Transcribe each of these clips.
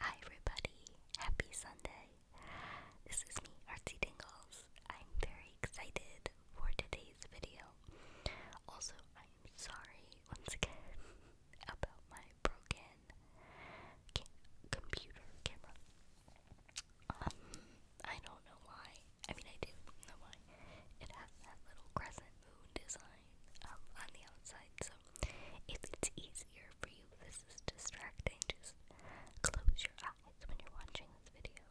Hi everybody, happy Sunday. This is me, Artsy Dingles. I'm very excited for today's video. Also, I'm sorry once again about my broken computer camera. Um, I don't know why. I mean, I do know why. It has that little crescent moon design um, on the outside. So if it's easier for you, this is distracting. Just close your eyes when you're watching this video.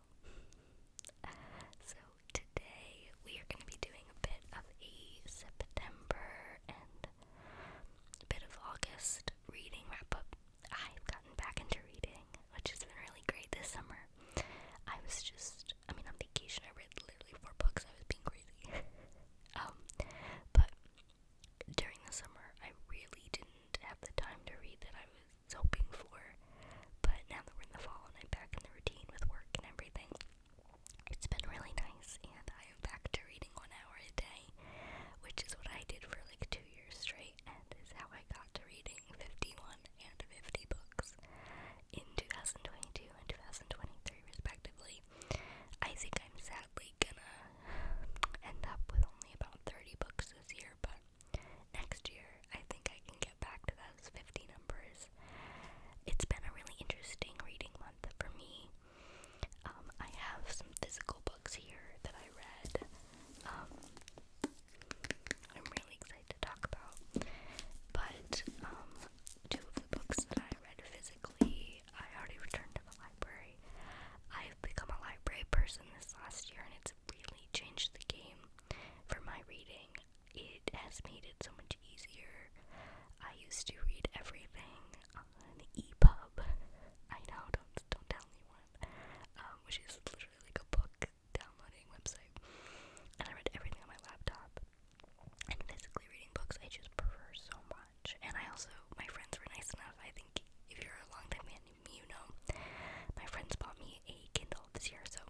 so today we are going to be doing a bit of a September and a bit of August reading wrap up. I've gotten back into reading, which has been really great this summer. I was just, I mean, on vacation I read literally four books, I was being crazy. um, but during the summer, I really didn't have the time to read that I was hoping for. But now that we're in the fall and I'm back in the routine with work and everything, it's been really nice, and I am back to reading one hour a day, which is what I did for like two years straight, and is how I got to reading 51 and 50 books in 2022 and 2023, respectively. I think I'm sadly gonna end up with only about 30 books this year, but next year I think I can get back to those 50 numbers. It's been a really interesting reading month for me. Um, I have some physical books here that I read. Um, I'm really excited to talk about. But um, two of the books that I read physically I already returned to the library. I've become a library person this last year and it's really changed the game for my reading. It has made it so much easier. I used to read everything on EPUB. I know, don't don't tell anyone. Um, which is literally like a book downloading website. And I read everything on my laptop and physically reading books I just prefer so much. And I also, my friends were nice enough. I think if you're a long time fan, you know, my friends bought me a Kindle this year, so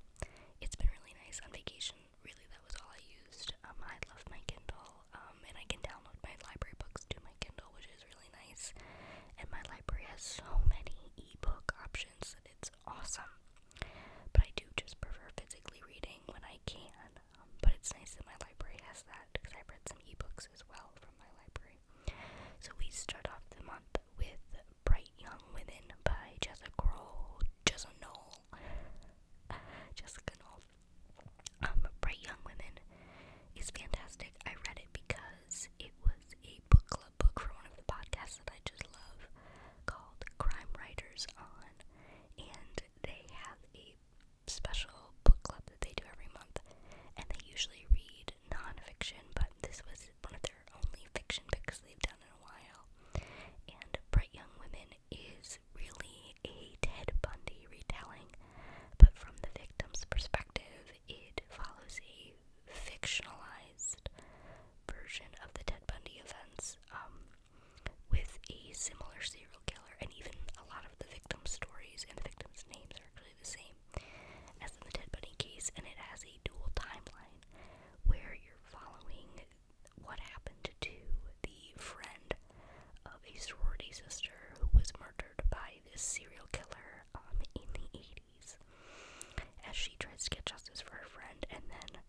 it's been really nice on vacation. Really, that was all I used. Um, I love my Kindle, um, and I can download my library books to my Kindle, which is really nice. And my library has so many ebook options that it's awesome. But I do just prefer physically reading when I can. Um, but it's nice that my library has that because i read some e-books as well from my library. So we start off the month with Bright Young Women by Jessica Kroll, Jessica Knoll, Jessica Knoll. Um, Bright Young Women is fantastic. I read it because it was a book club book for one of the podcasts that I just love called Crime Writers On, and they have a special book club that they do every month, and they usually read nonfiction, but this was one of their only fiction picks they've done in a while. And Bright Young Women is really a Ted Bundy retelling, but from the victim's perspective, it follows a fictionalized version of the Ted Bundy events. Um, with a similar serial killer, and even a lot of the victim stories and the victims' names are actually the same as in the Dead Bunny case, and it has a dual timeline where you're following what happened to the friend of a sorority sister who was murdered by this serial killer um, in the 80s as she tries to get justice for her friend, and then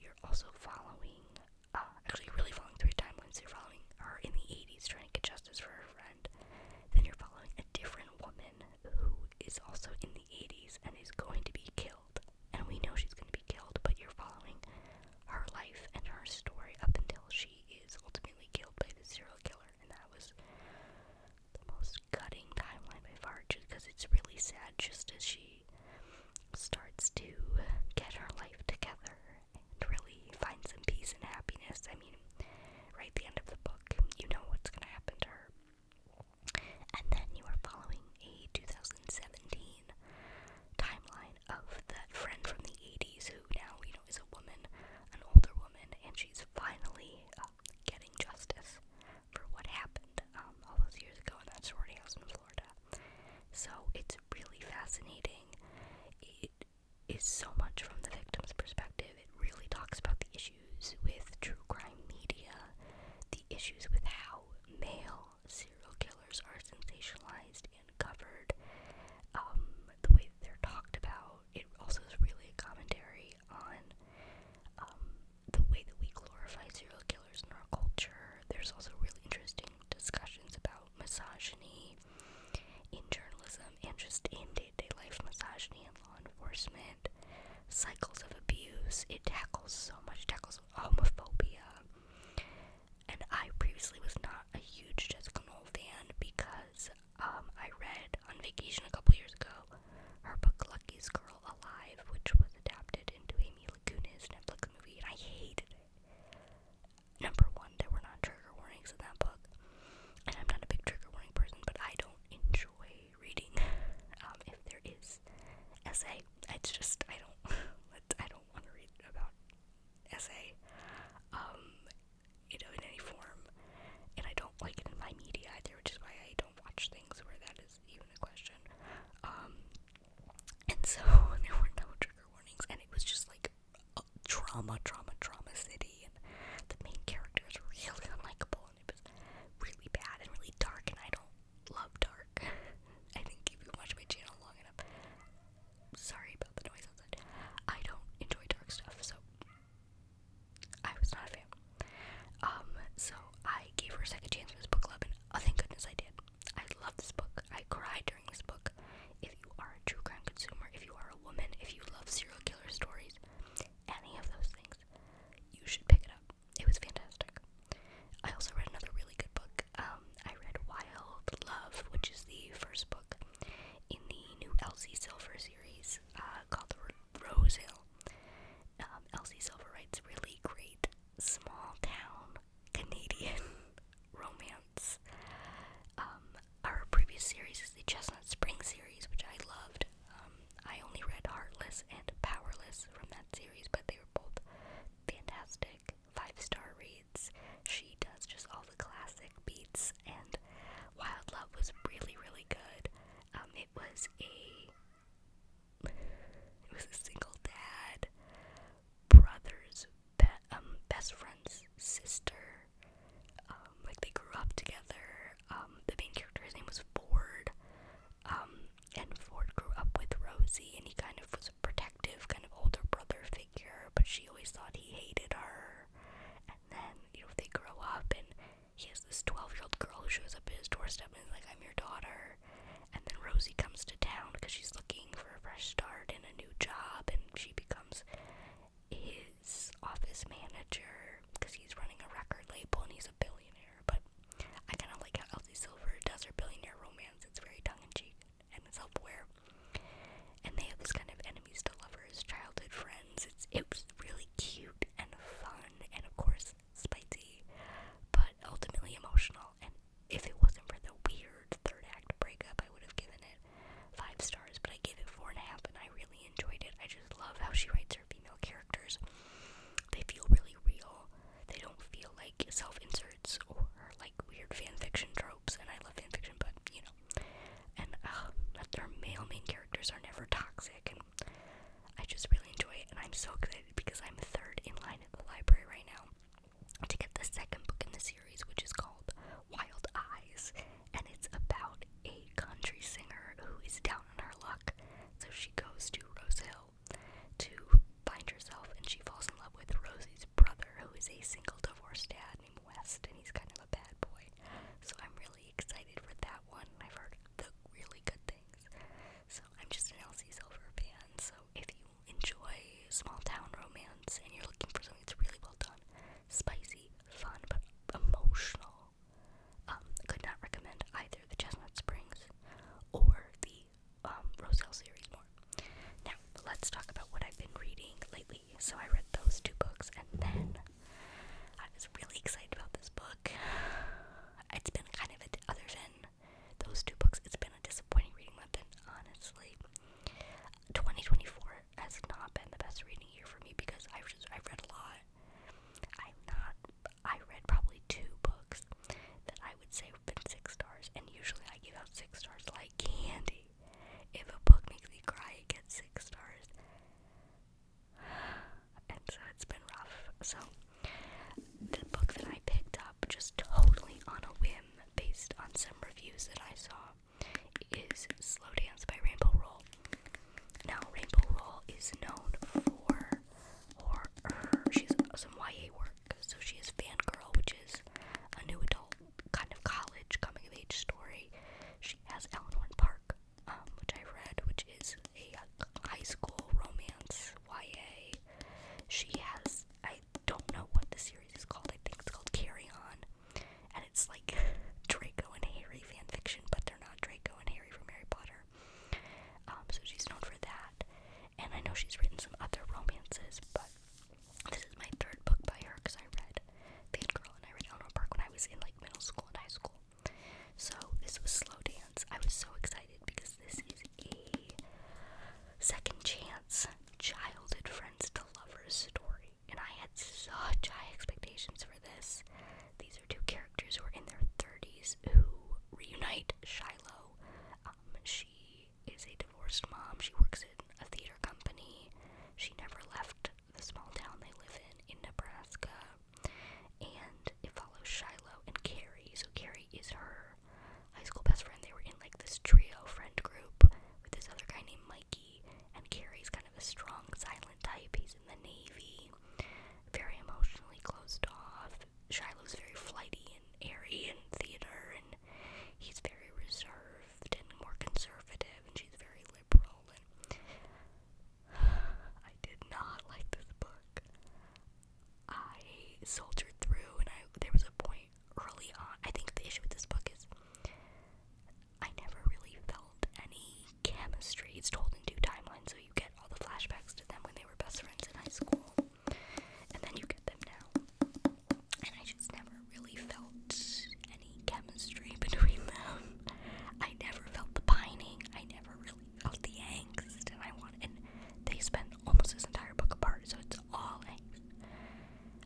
you're also following uh, actually really following three timelines, you're following her in the 80s trying to get justice for her friend, then you're following a different woman who is also in the 80s and is going to be killed. And we know she's going to be killed, but you're following her life and her story up until she is ultimately killed by the serial killer. And that was the most cutting timeline by far, just because it's really sad just as she starts to get her life together really find some peace and happiness. I mean, right at the end of the book, you know what's going to happen to her. And then you are following a 2017 timeline of that friend from the 80s who now, you know, is a woman, an older woman, and she's finally um, getting justice for what happened um, all those years ago in that sorority house in Florida. So it's really fascinating. It is so much from the victim's perspective. It really talks about the issues with true crime media, the issues with how male serial killers are sensationalized and covered, um, the way they're talked about. It also is really a commentary on um, the way that we glorify serial killers in our culture. There's also really interesting discussions about misogyny in journalism and just in day to day life misogyny and law enforcement, cycles of abuse. It tackles so much, it tackles homophobia. And I previously was not a huge Jessica Knoll fan because um, I read on vacation a couple years ago her book Lucky's Girl Alive, which was adapted into Amy Laguna's Netflix movie, and I hated it number one, there were not trigger warnings in that book, and I'm not a big trigger warning person, but I don't enjoy reading. Um, if there is essay, it's just I don't. I don't want to read about essay, um, you know, in any form, and I don't like it in my media either, which is why I don't watch things where that is even a question. Um, and so there were no trigger warnings, and it was just like drama, drama, drama city, and the main character is really unlikable, and it was really bad and really dark, and I don't love dark. I think if you watch my channel long enough, sorry about the noise outside. I don't enjoy dark stuff, so I was not a fan. Um, so I gave her a second chance with this book club, and oh, thank goodness I did. I love this book. I cry during this book. If you are a true crime consumer, if you are a woman, if you love serial killer stories, any of those things, you should pick it up. It was fantastic. I also read another really good book. Um, I read Wild Love, which is the first book in the new Elsie Silver series uh, called the Rose Hill. Elsie um, Silver writes really great small town Canadian romance. Um, our previous series is the Chestnut Spring series, which I loved. Um, I only read Heartless and Powerless from that series, but they were both fantastic five star reads. She does just all the classic beats, and Wild Love was really, really good. Um, it was a it was a single dad brothers, be um, best friend's sister. Um, like they grew up together. Um, the main character, his name was Ford. Um, and Ford grew up with Rosie, and he kind of was a protective, kind of older brother figure, but she always thought he hated her. And then, you know, they grow up, and he has this 12 year old girl who shows up at his doorstep and is like, I'm your daughter. And then Rosie comes to town because she's looking looking for a fresh start and a new job, and she becomes his office manager because he's running a record label and he's a billionaire. But I kind of like how Elsie Silver does her billionaire romance, it's very tongue in cheek and self aware. And they have this kind of enemies to lovers, childhood friends. It's, it was really cute and fun, and of course, spicy, but ultimately emotional if it wasn't for the weird third act breakup, I would have given it five stars, but I gave it four and a half, and I really enjoyed it. I just love how she writes her female characters. They feel really real. They don't feel like self inserts or like weird fanfiction tropes, and I love fanfiction, but you know. And uh, their male main characters are never toxic, and I just really enjoy it, and I'm so excited because I'm third in line at the library right now to get the second book in the series, which is called Wild Eyes, and it's about a country singer who is down on her luck. So she goes to Rose Hill to find herself, and she falls in love with Rosie's brother, who is a single divorced dad named West, and he's kind of a bad boy. So I'm really excited for that one. I've heard the really good things. So I'm just an Elsie Silver fan, so if you enjoy small town romance and you're looking for something that's really well done, spicy, fun, but emotional, I um, could not recommend either the Chestnut Springs or the um, Roselle series more. Now, let's talk about what I've been reading lately. So, I read those two books, and then I was really excited about this book. It's been kind of, a, other than those two books, it's been a disappointing reading month, and honestly, 2024 has not been the best reading year for me because I've just I've read a lot. I'm not I read probably two books that I would say have been six stars and usually I give out six stars like candy. If a book makes me cry it gets six stars. And so it's been rough. So the book that I picked just totally on a whim based on some reviews that I saw is Slow Dance by Rainbow Roll. Now, Rainbow Roll is known for horror. She has some YA work, so she has Fangirl, which is a new adult kind of college coming of age story. She has Eleanor Park, um, which I read, which is a high school romance YA. She has, I don't know what the series is called. I think it's called Carry On. And it's like Draco and Harry fanfiction, but they're not Draco and Harry from Harry Potter. Um, so she's known for that. And I know she's written some other romances, but this is my third book by her because I read Girl and I read Eleanor Park when I was in like middle school and high school. So this was Slow Dance. I was so excited because this is a second chance childhood friends to lovers story. And I had such high expectations for this. These are two characters who are in their 30s who reunite Shiloh. Um, she is a divorced mom. She works in a theater company. She never left the small town they live in, in Nebraska. And it follows Shiloh and Carrie. So Carrie is her her high school best friend. They were in like this trio friend group with this other guy named Mikey. And Carrie's kind of a strong, silent type. He's in the Navy, very emotionally closed off. Shiloh's very flighty and airy in theater, and he's very reserved and more conservative, and she's very liberal. And I did not like this book. I soldiered through, and I there was a point early on. I think the issue with this book is I never really felt any chemistry. It's told in two timelines, so you get all the flashbacks to them when they were best friends in high school, and then you get them now. And I just never really felt any chemistry between them. I never felt the pining. I never really felt the angst, and I want. And they spend almost this entire book apart, so it's all angst.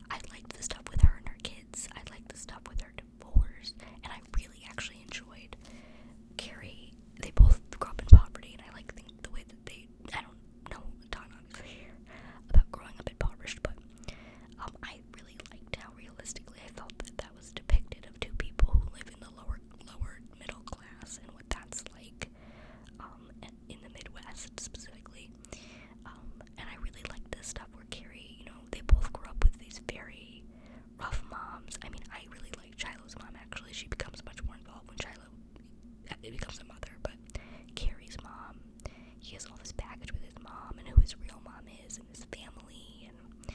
I liked the stuff with her and her kids. I liked the stuff with her divorce, and I really actually enjoyed Carrie. They both grew up in poverty, and I like think the way that they. I don't know a ton obviously about growing up impoverished, but um, I really liked how realistically I felt that that was depicted of two people who live in the lower lower middle class and what that's like. Um, in the Midwest specifically. Um, and I really like this stuff where Carrie, you know, they both grew up with these very rough moms. I mean, I really like Shiloh's mom actually. She becomes much more involved when Shiloh it becomes a mother, but Carrie's mom, he has all this baggage with his mom and who his real mom is and his family. And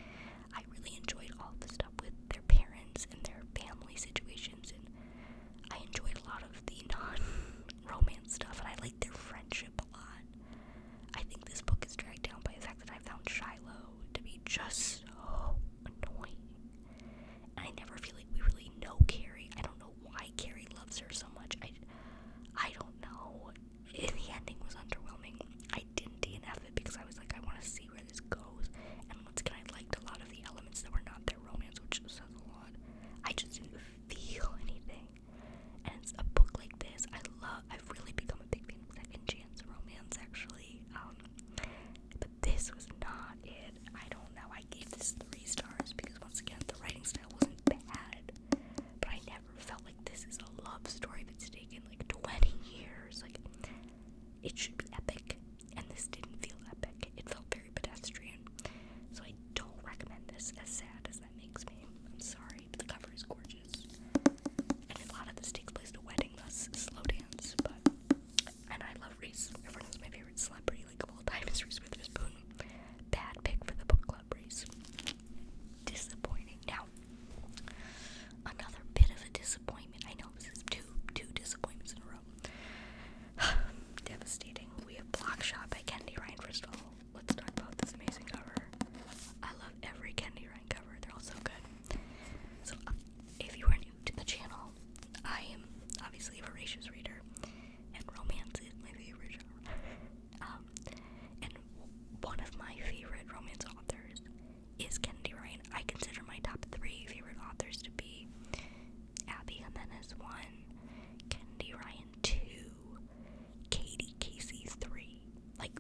I really enjoyed all the stuff with their parents and their family situations and I enjoyed a lot of the non-romance stuff, and I liked their friendship a lot. I think this book is dragged down by the fact that I found Shiloh to be just so annoying. I never feel like we really know Carrie. I don't know why Carrie loves her so much. I, I don't know. It, the ending was underwhelming. I didn't DNF it because I was like, I want to see where this goes. And once again, I liked a lot of the elements that were not their romance, which says a lot. I just didn't feel anything. And a book like this. I love. I've really become a big fan of second chance romance, actually. Um, but this was not it. I don't know. I gave this three stars because once again, the writing style wasn't bad, but I never felt like this is a love story that's taken like 20 years. Like, it should be epic, and this didn't feel epic. It felt very pedestrian. So I don't recommend this, as sad as that makes me. I'm sorry, but the cover is gorgeous. And a lot of this takes place at a wedding, slow dance, but... And I love Reese. Everyone knows my favorite celebrity, like, of all is Reese Witherspoon. Bad pick for the book club, Reese. Disappointing. Now, another bit of a disappointment. I know this is two, two disappointments in a row. Devastating. We have Block Shot by Candy Ryan First of all, Let's talk about this amazing cover. I love every Candy Ryan cover, they're all so good. So, uh, if you are new to the channel, I am obviously a voracious reader, and romance is my favorite genre. Um, and one of my favorite romance authors is Kennedy Ryan. I consider my top three favorite authors to be Abby Jimenez one, Kennedy Ryan two, Katie Casey three. Like,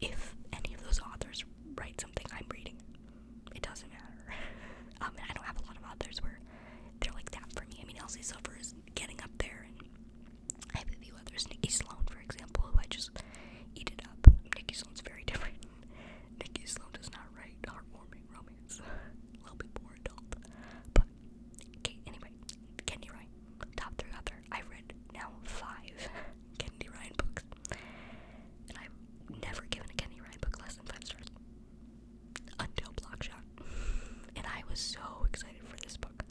if any of those authors write something I'm reading, it doesn't matter. Um, I don't have a lot of authors where they're like that for me. I mean, Elsie Silver is getting up there, and I have a few others. Nikki Sloan, for example, who I just eat it up. Nikki Sloan's very different. Nikki Sloan does not write heartwarming romance. a little bit more adult. But Okay, anyway, Candy Ryan, top three author. I've read now five Candy Ryan books, and I've never given a Candy Ryan book less than five stars until Blockshot, and I was so excited for this book.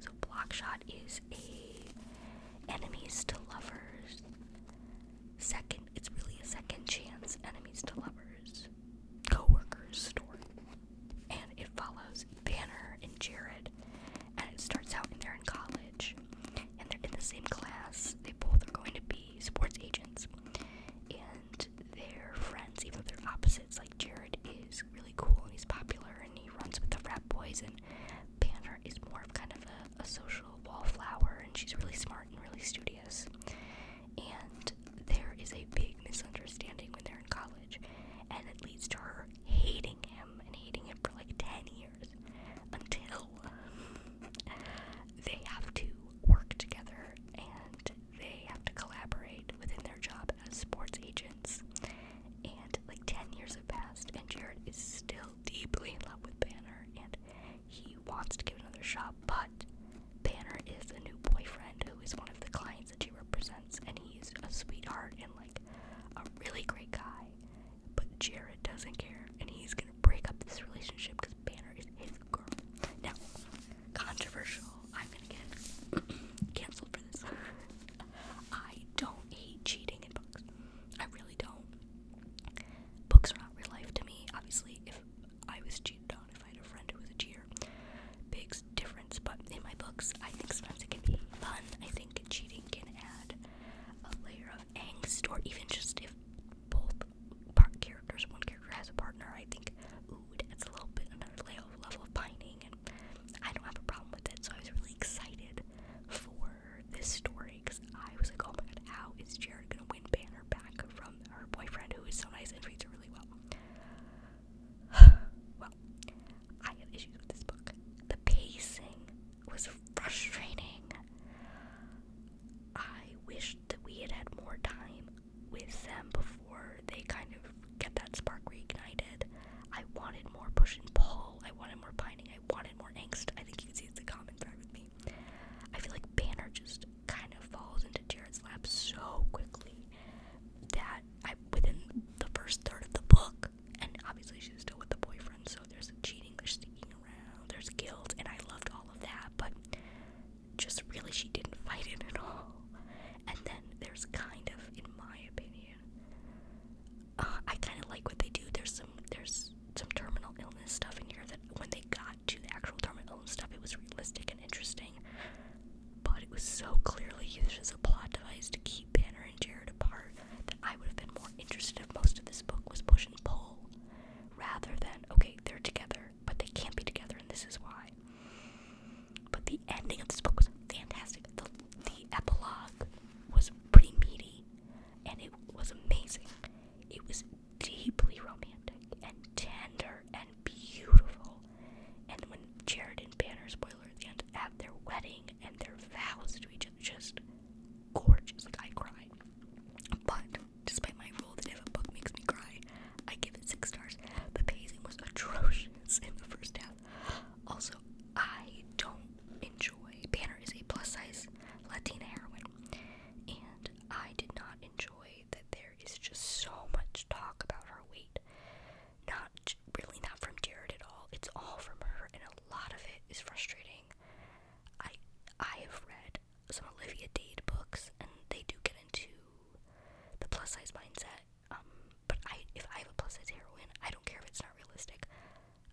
So Blockshot is a enemies to lovers second. It's really a second chance enemies to lovers co-worker's store. And it follows Banner and Jared. And it starts out and they're in college. And they're in the same class. They both are going to be sports agents. And they're friends, even though they're opposites. Like Jared is really cool and he's popular and he runs with the frat boys and Banner is more of kind of a, a social wallflower and she's really smart and really studious and there is a big misunderstanding when they're in college, and it leads to her hating him and hating him for like 10 years until they have to work together and they have to collaborate within their job as sports agents. And like 10 years have passed, and Jared is still deeply in love with Banner and he wants to give another shot, but Banner is a new boyfriend who is one of the clients that she represents, and he's a sweetheart and like a really great guy. But Jared doesn't care, and he's gonna break up this relationship because Banner is his girl. Now, controversial. I'm gonna get canceled for this. I don't hate cheating in books. I really don't. Books are not real life to me. Obviously, if I was cheated on, find a friend who's a cheater big difference. But in my books, I think sometimes it can be fun. I think cheating can add a layer of angst, or even just if both characters, one character has a partner, I think, ooh, a little bit another layer of level of pining, and I don't have a problem with it. So I was really excited for this story because I was like, oh my god, how is Jared gonna win Banner back from her boyfriend who is so nice and treats her well. I have issues with this book. The pacing was frustrating. I wish that we had had more time with them before they kind of get that spark reignited. I wanted more push and pull. I wanted more binding. I wanted more angst. I think you can see it's a common thread with me. I feel like Banner just kind of falls into Jared's lap so quickly that I within the first third of the book, and obviously she's still with the boyfriend, so there's cheating, there's sticking around, there's guilt, and I loved all of that, but just really she didn't fight it at all. And then there's kind of, in my opinion, uh, I kind of like what they do. There's some there's some terminal illness stuff in here that when they got to the actual terminal illness stuff, it was realistic and interesting but it was so clearly used as a plot device to keep Banner and Jared apart that I would have been more interested if most of this book was push and pull rather than, okay, they're together, but they can't be together, and this is why. But the ending of this book was fantastic. The, the epilogue was pretty meaty and it was amazing. It was deeply romantic and tender and and beautiful. And when Jared and Banner, spoiler at the end, have their wedding and their vows to each other, just gorgeous. Like, I cry. But, despite my rule that if a book makes me cry, I give it six stars. The pacing was atrocious in the first half. Also, I don't enjoy. Banner is a plus size Latina heroine, and I did not enjoy that there is just so much talk about her weight. Not really, not from Jared at all. It's all from her, and a lot of it is frustrating. I I have read some Olivia Dade books, and they do get into the plus size mindset. Um, but I, if I have a plus size heroine, I don't care if it's not realistic.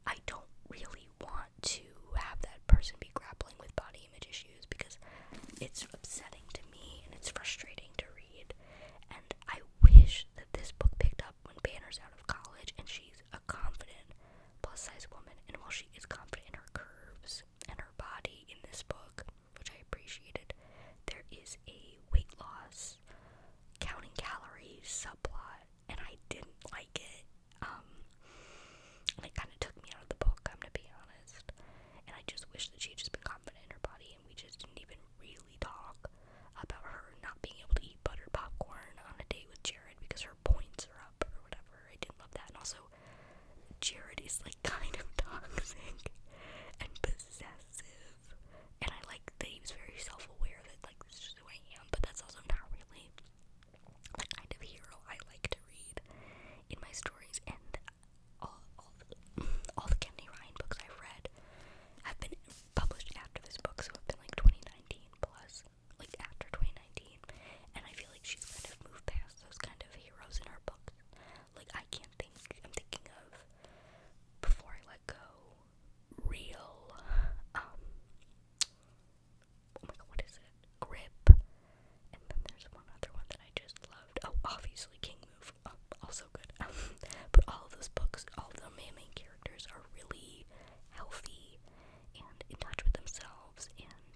I don't really want to have that person be grappling with body image issues because it's upsetting to me and it's frustrating to read. And I wish that this book picked up when Banner's out of college and she's a confident plus size woman. And while she is confident in her curves and her body in this book, which I appreciated, there is a weight loss, counting calories subplot, and I didn't like it. Um, and it kind of took me out of the book, I'm gonna be honest. And I just wish that she had just been confident in her body, and we just didn't even really talk about her not being able to eat butter popcorn on a date with Jared because her points are up or whatever. I didn't love that. And also, Jared is like kind of toxic and possessive. And I like that he was very self aware that, like, this is who I am, but that's also not really the kind of hero I like to read in my stories. And all, all, the, all Kennedy Ryan books I've read have been published after this book, so it have been like 2019 plus, like after 2019. And I feel like she's kind of moved past those kind of heroes in her books. Like, I can't think, I'm thinking of Before I Let Go, Real, um, oh what is it? Grip, and then there's one other one that I just loved. Oh, obviously King Move, oh, also good. but all of those books, all the main, main characters are really healthy and in touch with themselves and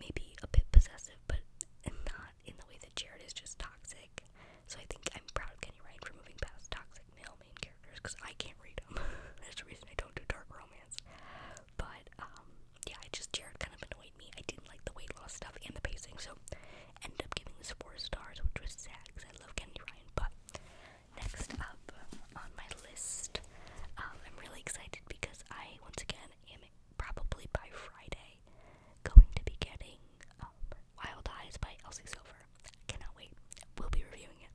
maybe a bit possessive, but not in the way that Jared is just toxic. So I think I'm proud of Kenny Ryan for moving past toxic male main characters because I can't read them. That's the reason I don't do dark romance. But um, yeah, I just Jared kind of annoyed me. I didn't like the weight loss stuff and the pacing, so ended up giving this four stars, which was sad because I love Kennedy Ryan. But next up on my list, um, I'm really excited because I once again am probably by Friday going to be getting um, Wild Eyes by Elsie Silver. Cannot wait. We'll be reviewing it.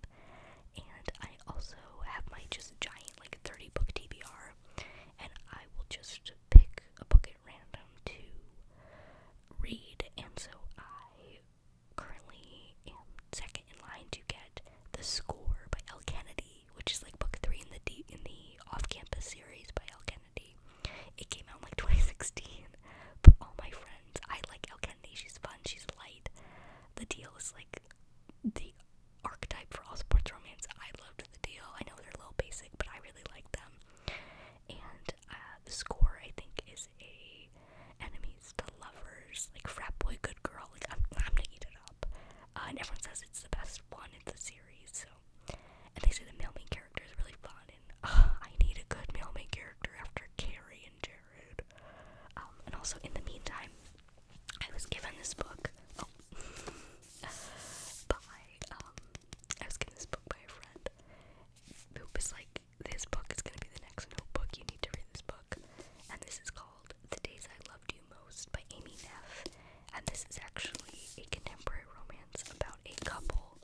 And I also have my just giant like 30 book TBR, and I will just pick a book random to read, and so I currently am second in line to get The Score by El Kennedy, which is like book three in the D- in the off-campus series by El Kennedy. It came out like 2016. But all my friends, I like El Kennedy. She's fun. She's light. The deal is like the archetype for all sports romance. I love the deal. I know they're a little basic, but I really like them. And uh, the score, I think, is a enemies to lovers, like frat boy, good girl. Like I'm, I'm gonna eat it up. Uh, and everyone says it's the best one in the series. So, and they say the male main character is really fun. And I need a good male main character after Carrie and Jared. Um, and also in the meantime, I was given this book. Oh. by um, I was given this book by a friend It was like, This book is gonna be the next notebook, you need to read this book. And this is called The Days I Loved You Most by Amy Neff. And this is actually a contemporary romance about a couple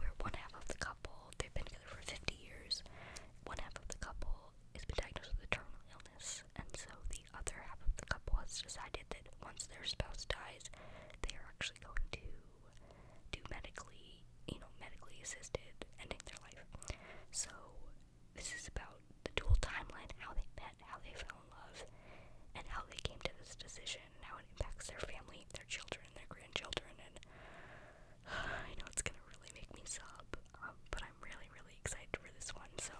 where one half of the couple, they've been together for 50 years, one half of the couple has been diagnosed with a terminal illness, and so the the other half of the couple has decided that once their spouse dies, they are actually going to do medically, you know, medically assisted ending their life. So this is about the dual timeline, how they met, how they fell in love, and how they came to this decision, and how it impacts their family, their children, their grandchildren, and I know it's gonna really make me sob, um, but I'm really, really excited for this one. So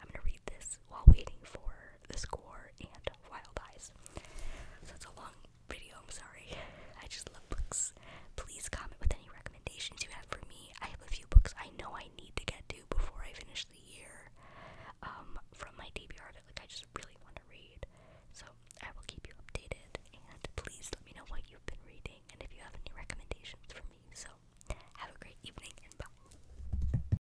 I'm gonna read this while waiting for the score and wild eyes. So it's a long video, I'm sorry. I just love books. Please comment with any recommendations you have for me. I have a few books I know I need to get to before I finish the year um, from my DBR that like I just really want to read. So I will keep you updated and please let me know what you've been reading and if you have any recommendations for me. So have a great evening and bye.